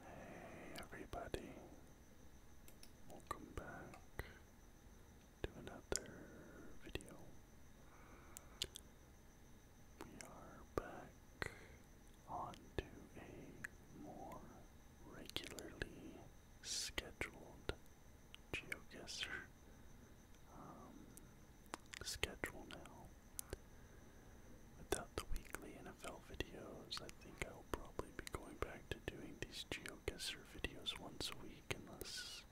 Hey everybody, welcome back to another video. We are back onto a more regularly scheduled geoguesser um, schedule now. Without the weekly NFL videos, I think I will probably be going back to doing these GeoGuessr videos once a week unless,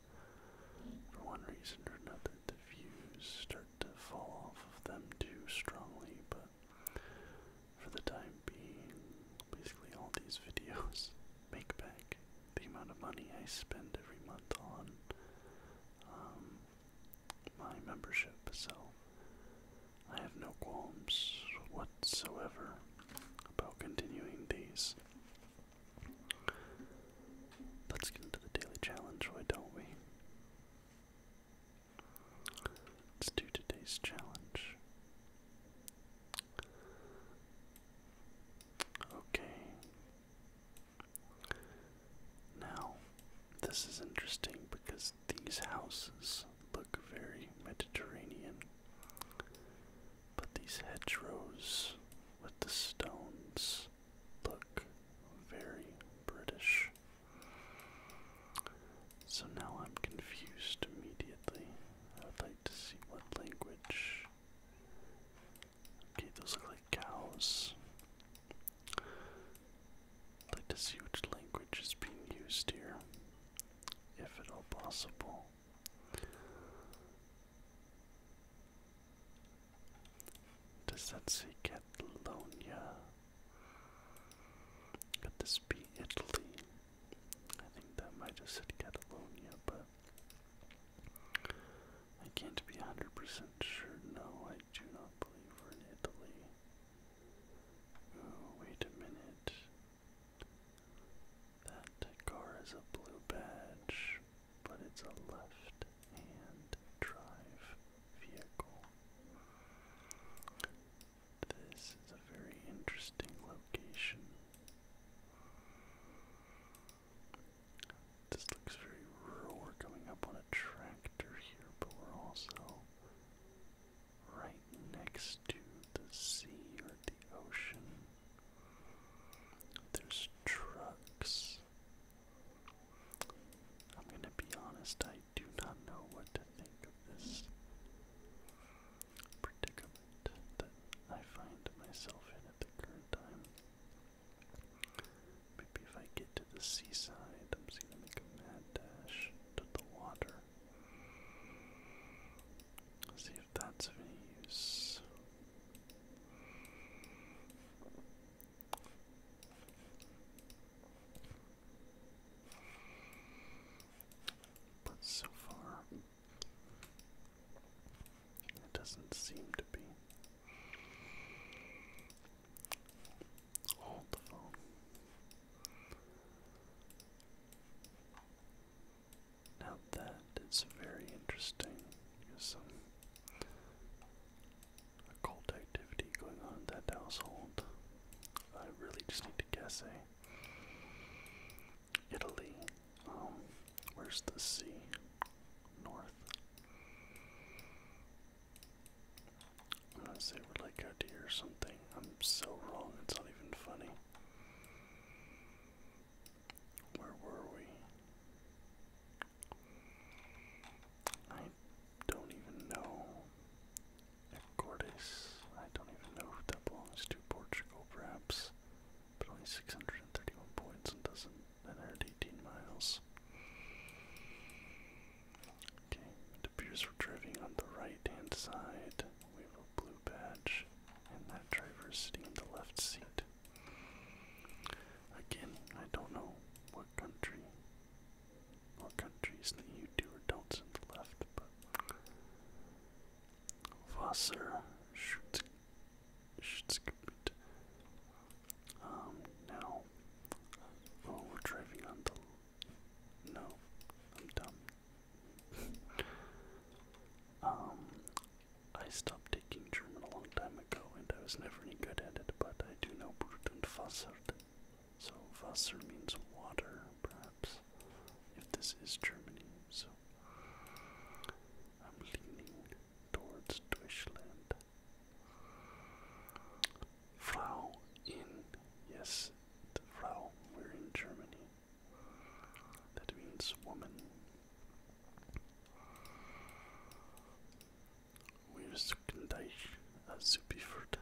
for one reason or another, the views start to fall off of them too strongly, but for the time being, basically all these videos make back the amount of money I spend every month on um, my membership, so I have no qualms whatsoever about continuing these. Let's get into the daily challenge, why don't we? Let's do today's challenge. Okay. Now, this is interesting because these houses look very Mediterranean, but these hedgerows with the stones look very British. So now I'm confused immediately. I would like to see what language. Okay, those look like cows. like to see which language is being used here, if at all possible. Does that say Catalonia? Could this be Italy? I think that might have said Catalonia, but I can't be 100% sure. No, I do not believe we're in Italy. Oh, wait a minute. That car is a blue badge, but it's a left hand drive vehicle. This is a very interesting location looks very rural. We're coming up on a tractor here, but we're also right next to the sea or the ocean. There's trucks. I'm gonna be honest, I do not know what to think of this predicament that I find myself in at the current time. Maybe if I get to the seaside, I'm just gonna make a mad dash to the water. Let's see if that's of any use. But so far, it doesn't seem to be. Hold the phone. Now that is very interesting. There's some occult activity going on in that household. I really just need to guess, A eh? Italy. Um, where's the sea? North i say we're like a deer or something. I'm so wrong, it's not even funny. Where were we? I don't even know. Ecortes. I don't even know who that belongs to. Portugal, perhaps. But only 631 points and doesn't inherit 18 miles. Okay, it appears we're driving on the right-hand side. We have a blue badge, and that driver is sitting in the left seat. Again, I don't know what country or countries that you do or don't send left, but Wasser Schutzgebiet. Um, now Oh, we're driving on the. No, I'm dumb. um, I stopped taking German a long time ago, and I was never any good at it. But I do know Brut and Fassert. So Wasser means water, perhaps. If this is Germany, so I'm leaning towards Deutschland. Frau in. Yes, the Frau. We're in Germany. That means woman. Wir suchen dich, Zubiefert,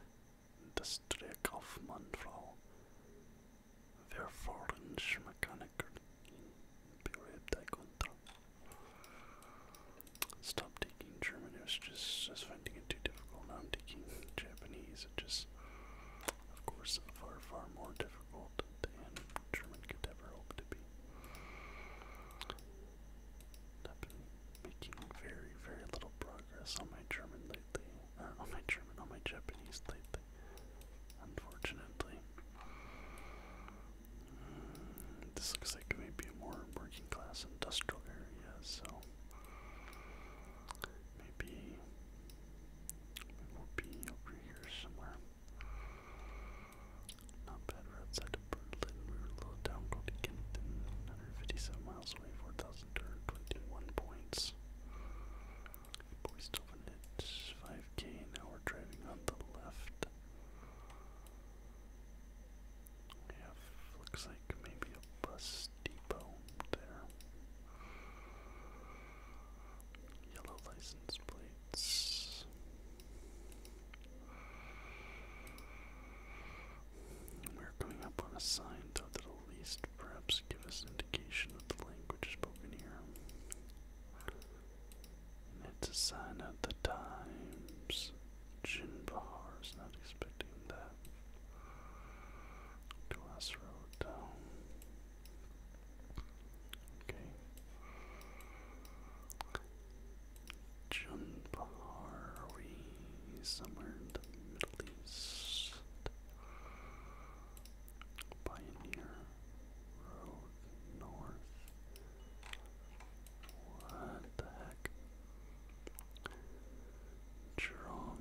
das Dreikaufmannfrau. Wer fahren Schmechaniker in Bereib dich unter. Stop taking German. It was just, just finding it too difficult. Now I'm taking Japanese. It's just, of course, far, far more difficult than German could ever hope to be. I've been making very, very little progress on my German lately. Uh, on my German, on my Japanese lately. Unfortunately. This looks like maybe a more working class industrial area, so maybe we'll be over here somewhere. Not bad, outside of Berlin, we're a little down called 157 miles away, 4,021 points. But we still have it, 5k, now we're driving on the left. We looks like maybe a bus depot there. Yellow license plates. We're coming up on a sign, though, that at least perhaps give us an indication of the language spoken here. it's a sign of the times. Jin Bahar is not expecting that. Glass road down. Okay. Jun Bahar, we somewhere the Middle East? Pioneer Road North. What the heck? Jurong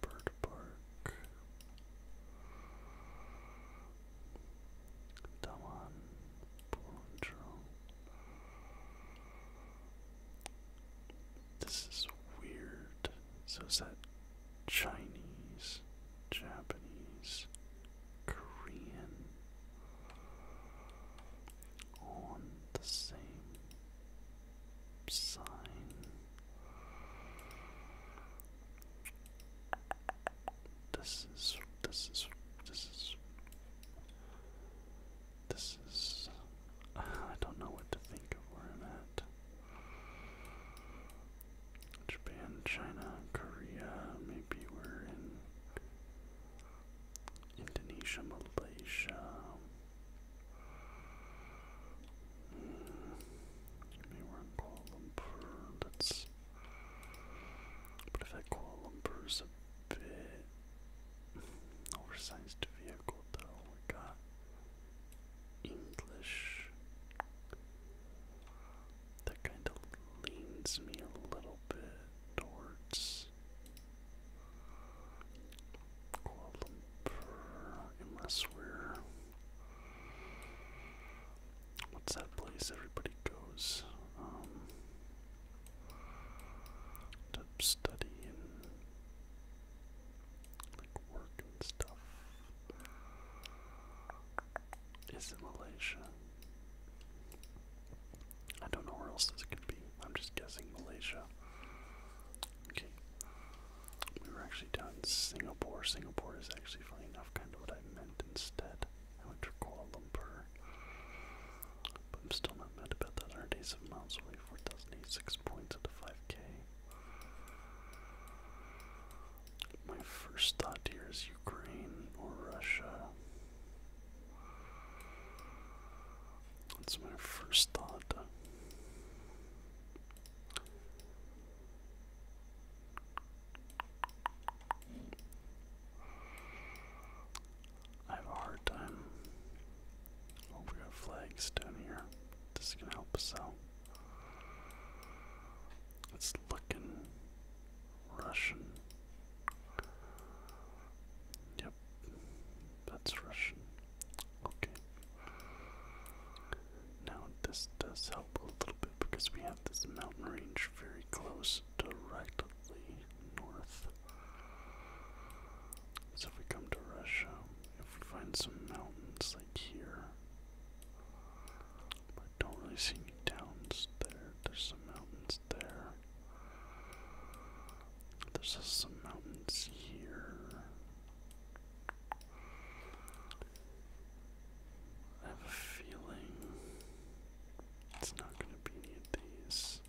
Bird Park. Dawan Jurong. This is weird. So is that Chinese, Japanese, Korean? on the same sign. This is this is this is this is I don't know what to think of where I'm at. Japan, China, Korea, maybe we're in Indonesia, Malaysia. Hmm. Maybe Kuala Lumpur. That's. But if that Kuala Lumpur a bit oversized vehicle, though, we got English. That kind of leans me a little bit towards Yes. unless we're. What's that place everybody goes um, to study and like work and stuff? Is it Malaysia? I don't know where else this could be. I'm just guessing Malaysia. Okay. We were actually down Singapore. Singapore is actually, funny enough, kind of what I meant instead. I went to Kuala Lumpur. But I'm still not mad about that. Our days of miles away, 4,086 points at a 5k. My first thought here is Ukraine or Russia. That's my first thought. I have a hard time. Oh, we got here. This is gonna help us out. It's looking Russian. Yep, that's Russian. Okay. Now, this does help a little bit because we have this mountain range very close, directly north. So, if we come to Russia, if we find some mountains like here, I don't really see any downs there. There's some mountains there. There's some mountains here. I have a feeling it's not going to be any of these.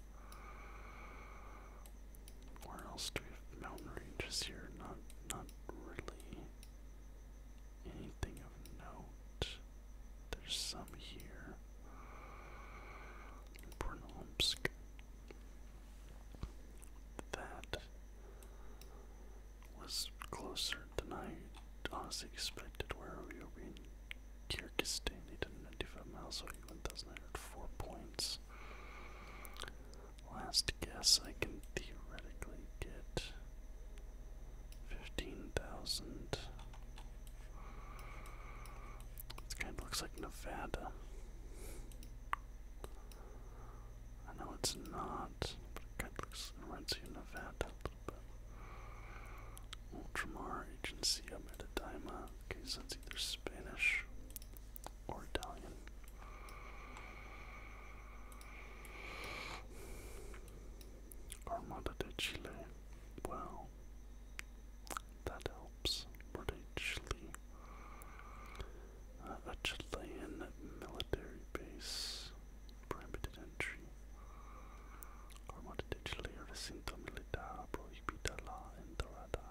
Where else do we have mountain ranges here? Not, not really anything of note. There's some here. Brnomsk. That was closer than I honestly expected. Where we were in Kyrgyzstan, he miles away, 1,904 points. Last guess, I can theoretically get 15,000. This kind of looks like Nevada. I know it's not, but it kind of looks, it reminds you of Nevada a little bit. Ultramar, Agency of Metadima. Okay, so it's either Spanish or Italian. Armada de Chile. Well, that helps. Where Chile? Uh, a Chilean military base. Prohibited entry. Armada de Chile, recinto militar, prohibida la entrada.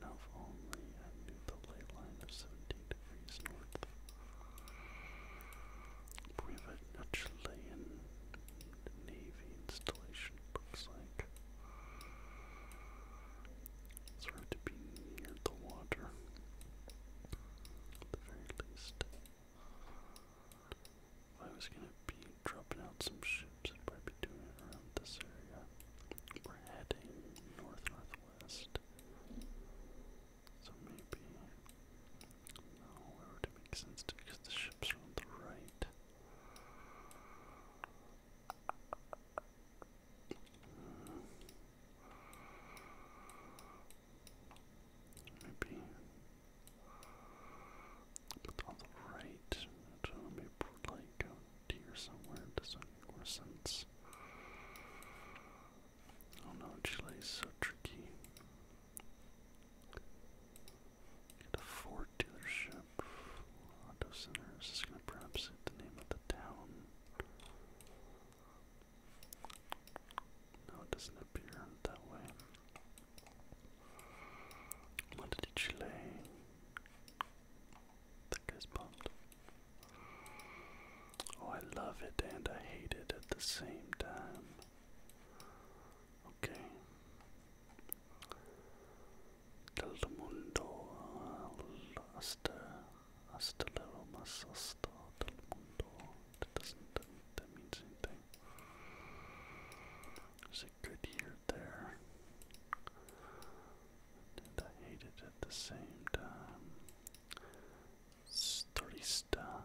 Now, if only I knew the ley of 17 degrees north. We Chilean Navy installation looks like. Sort to be near the water, at the very least. I was gonna be dropping out some ships, I'd be doing it around this area. We're heading north northwest. So maybe no, where make sense to because the ships are on the right. Maybe put on the right to maybe put like a deer somewhere doesn't make more sense. Oh no, Chile so tricky a Ford dealership, auto center. Is going to perhaps the name of the town? No, it doesn't appear that way. Monte That guy's pumped. Oh, I love it and I hate it at the same time. Okay. Del mundo hasta, hasta la Roma, hasta del mundo. That doesn't, that, that means anything. It was a good year there. And I hated it at the same time. Turista,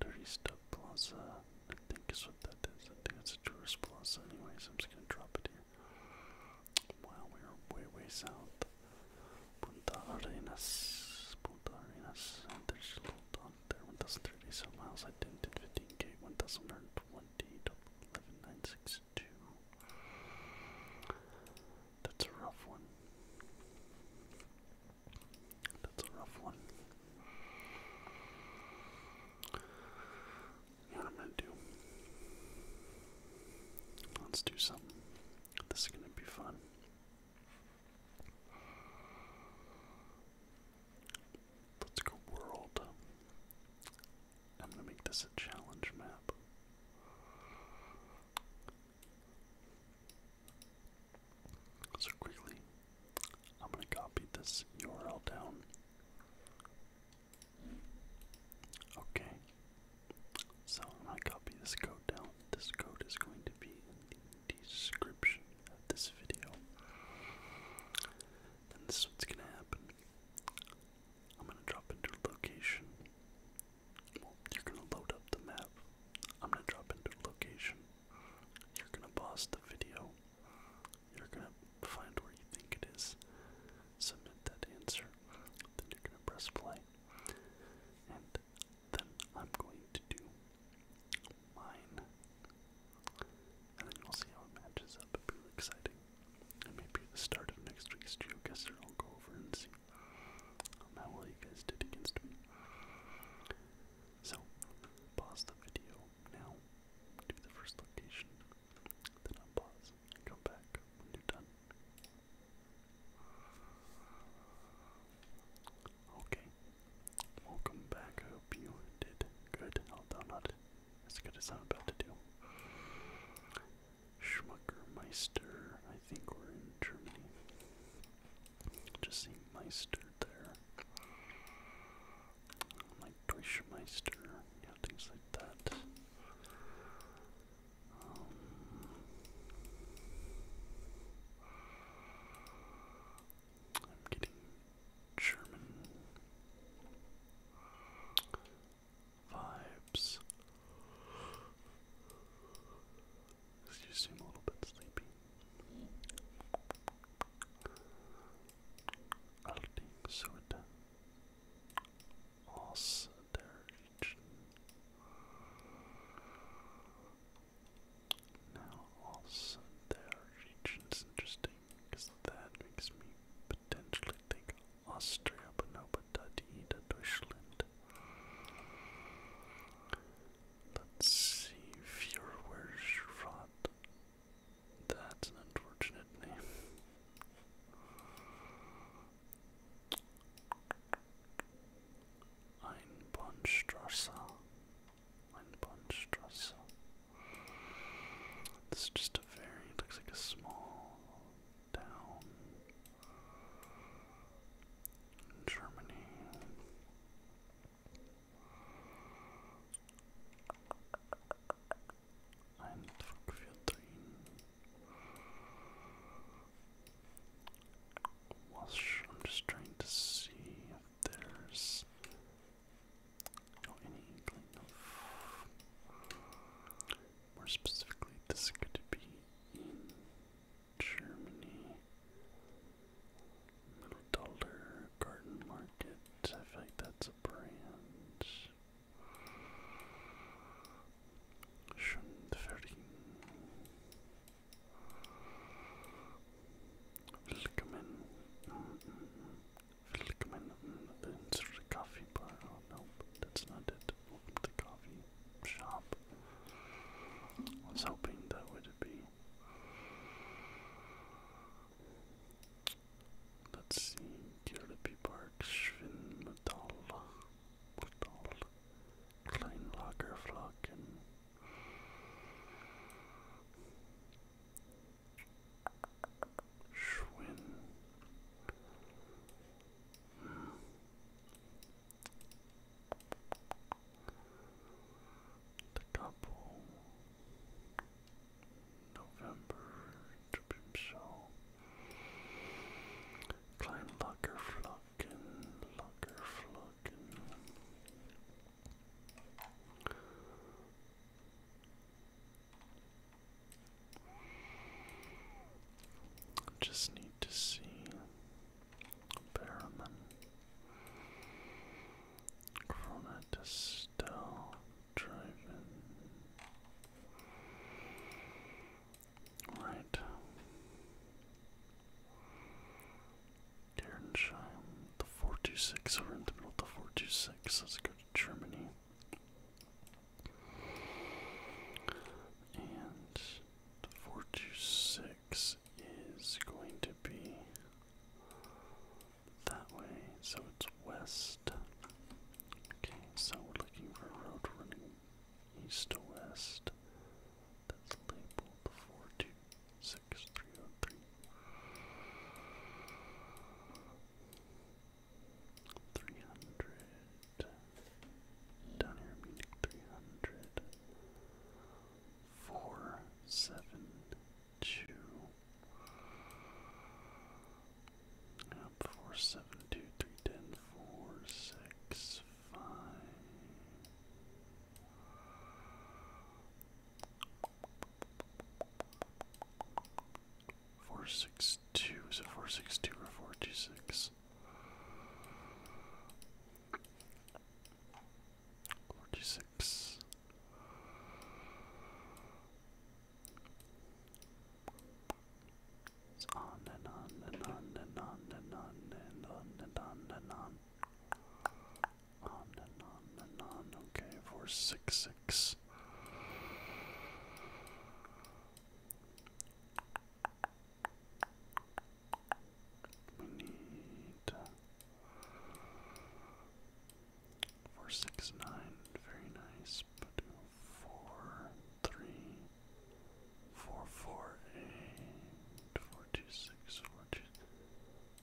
Turista Plaza. I think is what that is. I think it's a tourist plaza anyways. I'm just gonna drop it here. Wow, we are way, way south. Punta Arenas. Punta Arenas. there's a little dot there. 1,030 miles. I didn't did 15k. 1,120. That's a rough one. That's a rough one what I'm gonna do? Let's do something. This is gonna be fun. Let's go world. I'm gonna make this a challenge map. So quickly, I'm going to copy this URL down. Okay. So i copy this code down. This code is going to be in the description of this video. And this is what's going to happen. I'm going to drop into location. you're going to load up the map. I'm going to drop into location. You're going to pause the video you're gonna find where you think it is, submit that answer, then you're gonna press play, and then I'm going to do mine, and then you'll see how it matches up. it exciting, and maybe the start of next week's GeoGuessr, I'll go over and see how well you guys did against me. So, pause the video, now to the first location, then unpause and come back you done. Okay, welcome back. I hope you did good, although not as good as I'm about to do. Schmuckermeister, I think we're in Germany. Just see Meister there like Deutschmeister, you know, things like that. Um, I'm getting German vibes. You seem a little bit sleepy. Allerdings sollte aus der Region now also region is interesting because that makes me potentially think Austria, but no, but Dida, Deutschland. Let's see, Feuerwehrschrott, that's an unfortunate name. Einbahnstrasse. Einbahnstrasse. This is just a very, looks like a small town in Germany. Eindruck Wash, I'm just trying to see if there's any More specifically, this could be in Germany. Little Dollar Garden Market. I feel like that's a brand. Schönfering. Willkommen. Mm -mm. Willkommen. It's the coffee bar. Oh, nope. That's not it. Welcome the coffee shop. I was hoping that would be Let's see, Kirby Park, Schwinmetall, Metall, Kleinlagerflaken. Schwinn. Hmm the couple November to himself Locker Flocken Locker Flocken just need to see Barman Corona to Right. Gernsheim. The 426 over in the middle of the 426. Let's go to Germany. And the 426 is going to be that way, so it's west. Okay, so we're looking for a road running east to west. That's labeled 426303. 300. Down here, meaning 7, two. four, six, five. Four six two is it four six two or four two six? Forty-six. It's on and on and on and on and on and on and on and on. On and on and on. Okay, four six six. We Four six nine, very nice. But four three, four four eight, four two six, four two,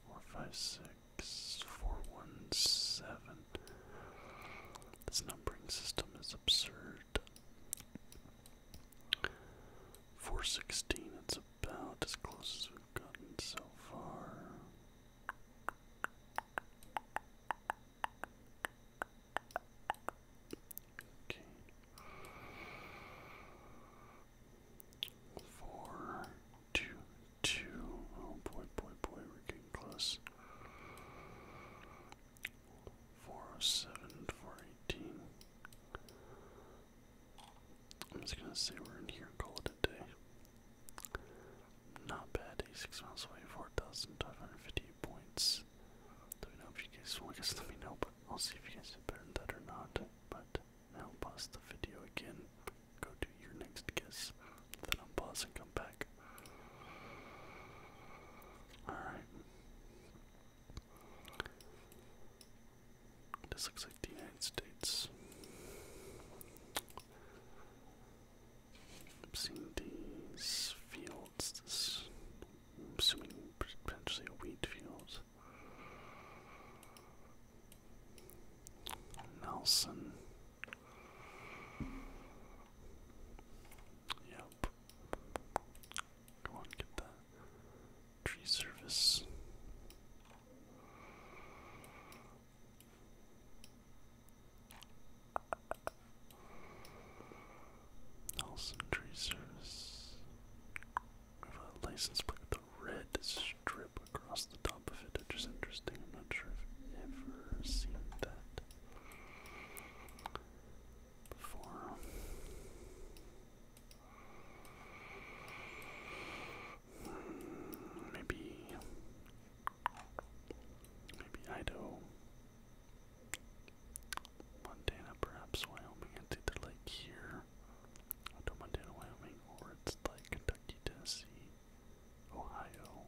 four five six, four one seven. This numbering system is absurd. Four sixteen, it's a about as close as we've gotten so far. Okay. Four, two, two. Oh boy, boy, boy, we're getting close. Four oh seven, four eighteen. I'm just gonna say we're in here and call it a day. Not bad, 86 miles away, 4,550 points. Let me know if you guys, well I guess let me know, but I'll see if you guys did better than that or not. But now pause the video again, go do your next guess, then unpause and come back. Alright. This looks like the United States. I'm seeing these fields, this, I'm assuming potentially a wheat field. Nelson. Yep. Go on, get that tree service. Nelson Tree a license plate with a red strip across the top of it, which is interesting. I'm not sure if I've ever seen that before. Maybe. Maybe Idaho. Montana, perhaps Wyoming. It's either like here, Montana, Wyoming, or it's like Kentucky, Tennessee, Ohio.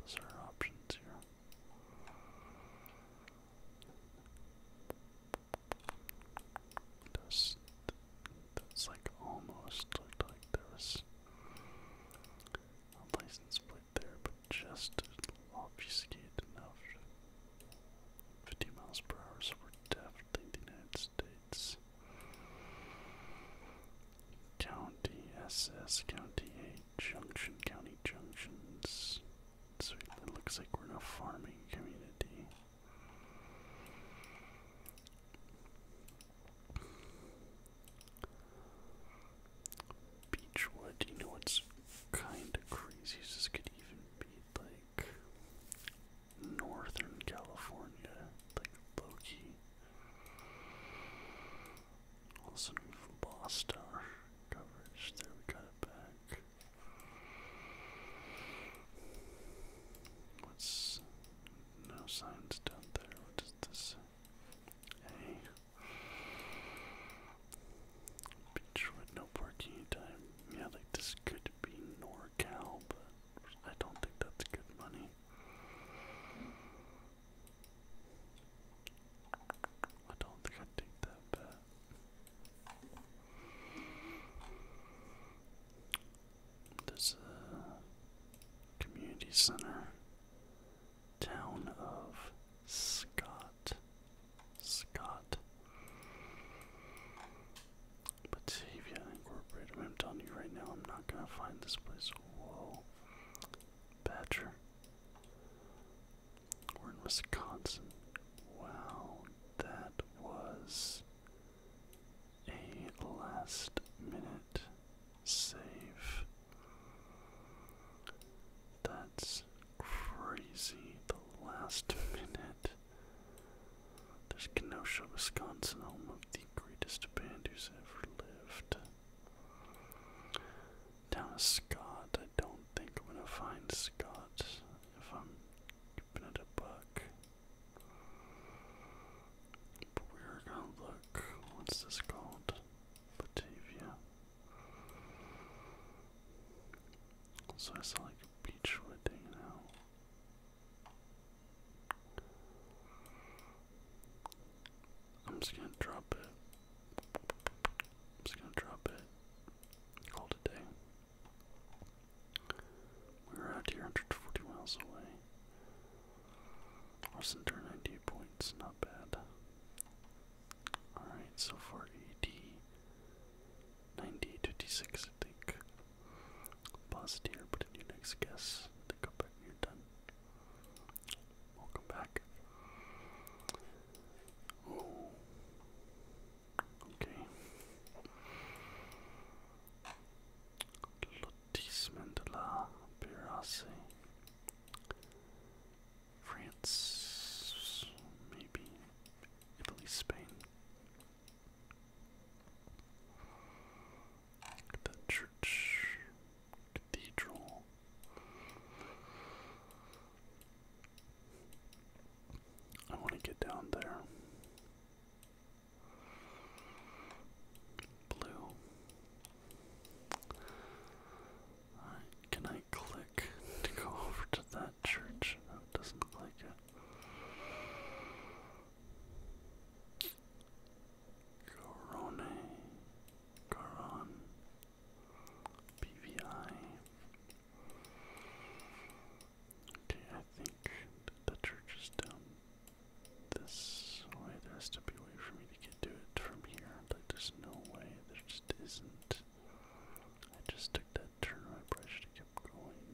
Those are options here. That's, that's like almost like there a license plate there, but just obfuscated enough. 50 miles per hour, so we're definitely in the United States. County SS, County A, Junction, County Junctions. So it looks like we're in a farming community. Beechwood, you know what's kind of crazy this could even be like Northern California, like Loki. Also, we've lost our coverage there, we got it back. What's no signs down there? What is this? A Beachwood, no parking time. Yeah, like this could be NorCal, I don't think that's good money. I don't think i take that bet. There's a uh, community center. Town of Scott. Scott. Batavia Incorporated. I'm telling you right now, I'm not gonna find this place. Whoa. Badger. We're in Wisconsin. Wow, that was a last minute save. That's crazy. The last minute. There's Kenosha, Wisconsin, home of the greatest band who's ever lived. Down is Scott. I don't think I'm gonna find Scott if I'm keeping a buck. But we're gonna look. What's this called? Batavia. So I like a beechwood hanging I'm just gonna drop it. just gonna drop it. Call day. We're out here 140 miles away. Austin 98 points, not bad. Alright, so far AD 9056, I think. Pause it put in your next guess, then come you're done. Welcome back. Okay. Lotissement de France, maybe Italy, Spain. Look church, cathedral. I want to get down there. Blue. can I click to go over to that church? That doesn't look like it. Corone. Caron. PVI. Okay, I think the church is down this way. There has to be a way for me to get to it from here. there's no way. There just isn't. I just took that turn. I probably kept going.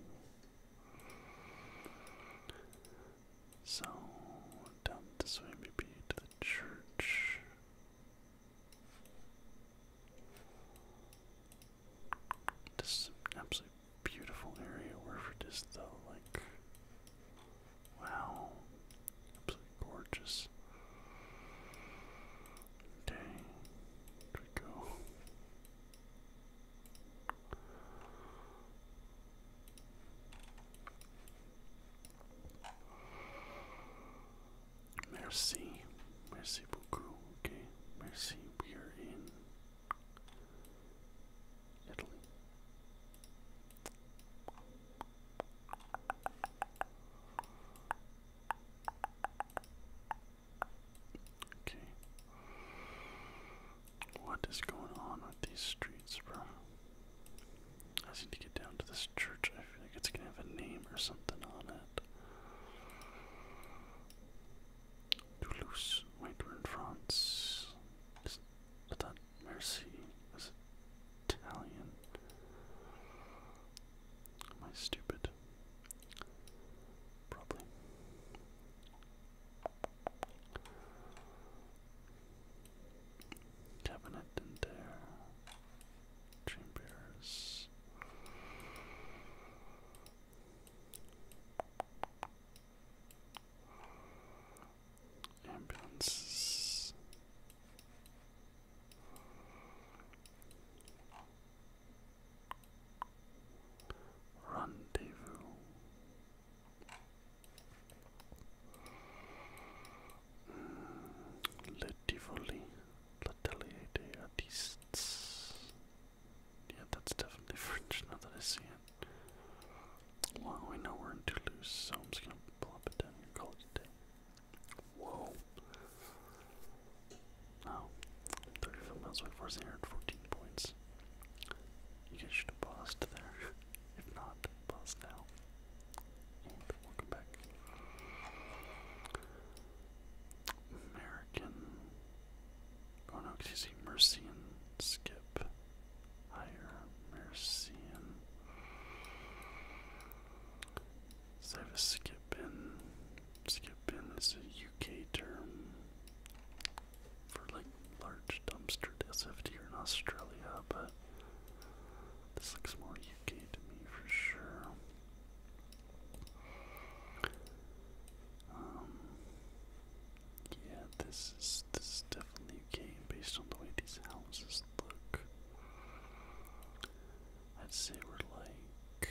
So, down this way, maybe to the church. This is an absolutely beautiful area. Wherever it is, though, like, wow, absolutely gorgeous. Dang, there we go. Merci, merci beaucoup. Okay, merci. We are in Italy. Okay. What is going on with these streets, bro? I need to get down to this church. I feel like it's gonna have a name or something on it. Toulouse. Wait, in France. Is, I thought Mercy was Italian. Am I stupid? Probably. Cabinet in there. Ambulances. Rendezvous. Mm, Le Tivoli, L'Atelier des Artistes. Yeah, that's definitely French now that I see it. Well, we know we're in Toulouse, so I'm just gonna plop it down here, call it Whoa. Oh, 35 miles away, forcing here at points. You guys should have paused there. if not, pause now. And welcome back. American Oh no, because you see Mercian skip. Higher Mercian. So I have a skip in. Skip in This is a UK term for like large dumpster SFT here in Australia, but this looks more UK to me for sure. Um, yeah, this is this is definitely a game based on the way these houses look. I'd say we're like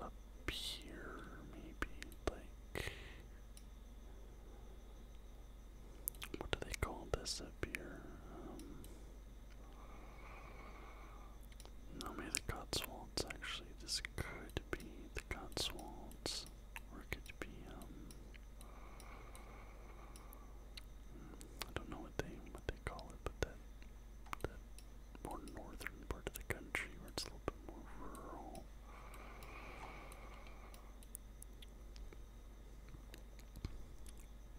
up here, maybe like what do they call this up here? Um, no, maybe the Cotswolds, actually. This could be the Cotswolds, or it could be, um, I don't know what they, what they call it, but that, that more northern part of the country where it's a little bit more rural.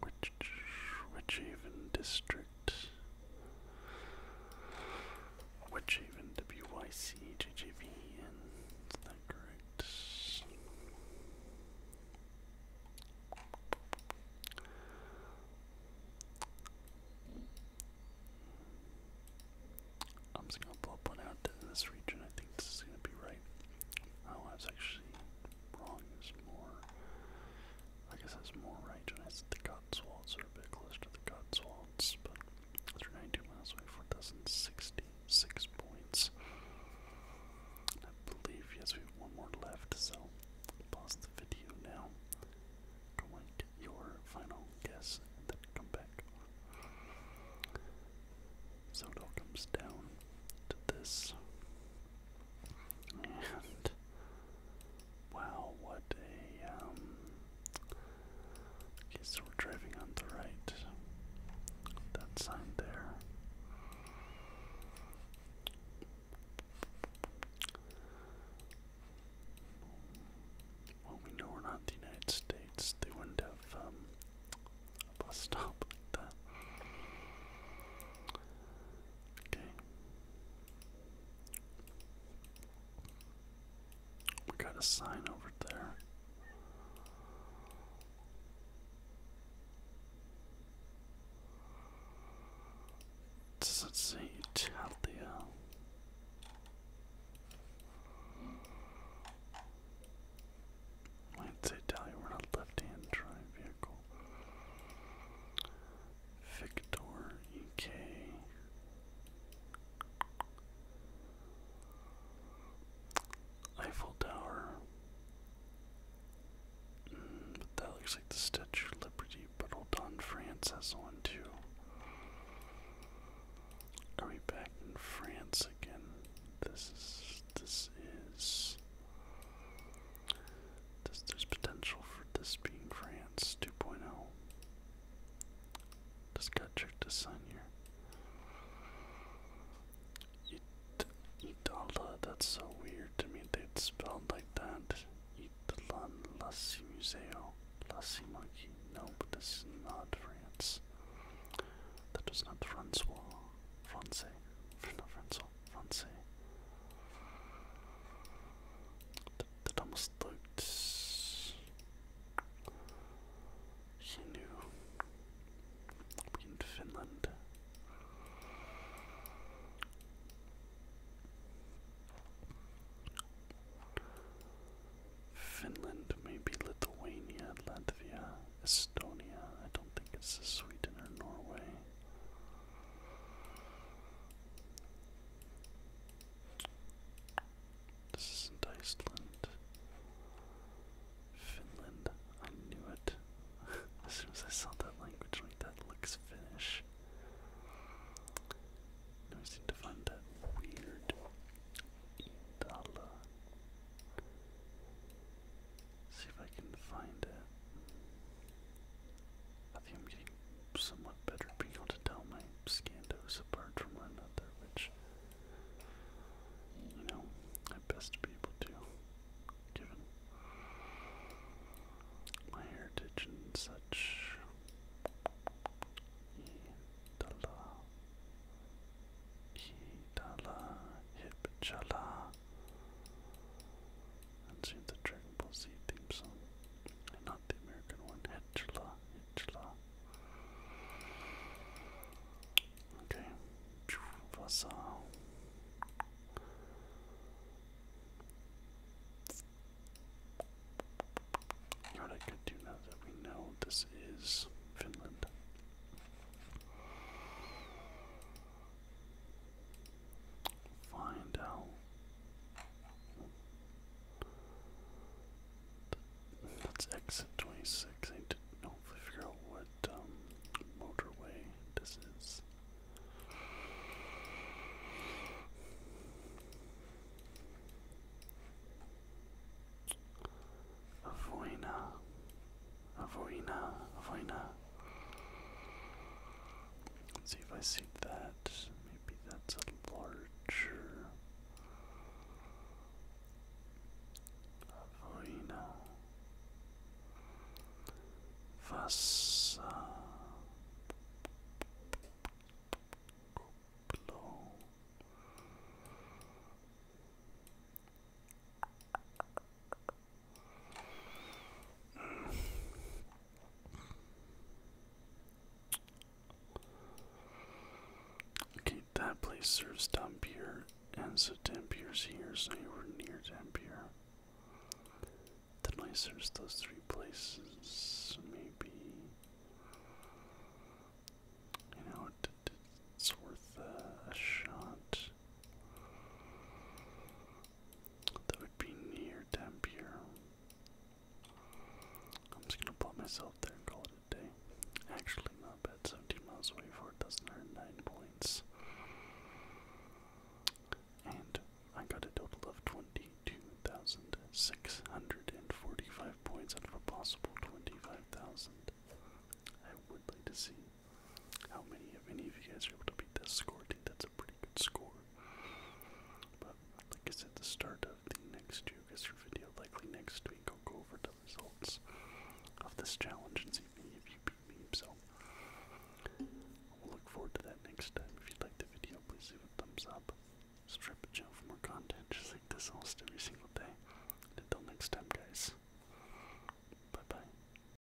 Which Whichhaven District? Whichhaven WYC JJVN. Is that correct? I'm just gonna blow up one out in this region. I think this is gonna be right. Oh, I actually wrong. There's more. I guess it's more regionized the Cotswolds are a bit closer to the Cotswolds, but they're 92 miles away, 4,066 points. I believe, yes, we have one more left, so pause the video now. Go make your final guess then come back. So it all comes down to this. And wow, what a um Okay, so we're driving on the right. That sign there. Well, we know we're not the United States. They wouldn't have um, a bus stop like that. We got a sign over there. Does it say Italia? Might say Italia, we're not left hand drive vehicle. Victor EK. Eiffel Tower. Mm, but that looks like the Statue of Liberty, but hold on, France one too. Are we back in France again? This is this is this, there's potential for this being France 2.0. Just got tricked to sign Itala, that's so weird to me. They'd spelled like that. Italan Lassi Museo. Lassi Monkey. No, this is not France. That was not Francois. Francais. Not Francois fancy. The, the dumbest looked. He knew. In Finland. Finland, maybe Lithuania, Latvia, Estonia. I don't think it's Sweden or Norway. This isn't Iceland. Finland. I knew it. as soon as I saw that language like that looks Finnish. Now I seem to find that weird Itala. See if I can find it. I think I'm getting somewhat better at being able to tell my scandos apart from one another, which, you know, I best be able to, given my heritage and such. Idala, Idala, Hipchala. And see hear the Dragon Ball Z theme song. And not the American one. Hitchla, Hitchla. Okay. Vassal. What I could do now that we know this is Finland find out. Let's exit 26. I to hopefully figure out what um, motorway this is. Avoina a Voina, Let's see if I see that. Maybe that's a larger Avoina. Vasa Okay, that place serves Dampier, and so Dampier's here, so we're near Dampier. The I serves those three places, maybe. You know, it's worth a shot that would be near Dampier. I'm just gonna put myself there and call it a day. Actually, not bad. 17 miles away for it doesn't earn 9 points. And I got a total of 22,645 points out of a possible 25,000. I would like to see how many of any of you guys are able to beat this score. I think that's a pretty good score. But like I said, the start of the next Geoguessr video, likely next week, I'll go over the results of this challenge and see if any of you beat me. So we'll look forward to that next time. If you like the video, please leave a thumbs up. Subscribe to the channel for more content just like this almost every single day. until next time, guys. Bye bye.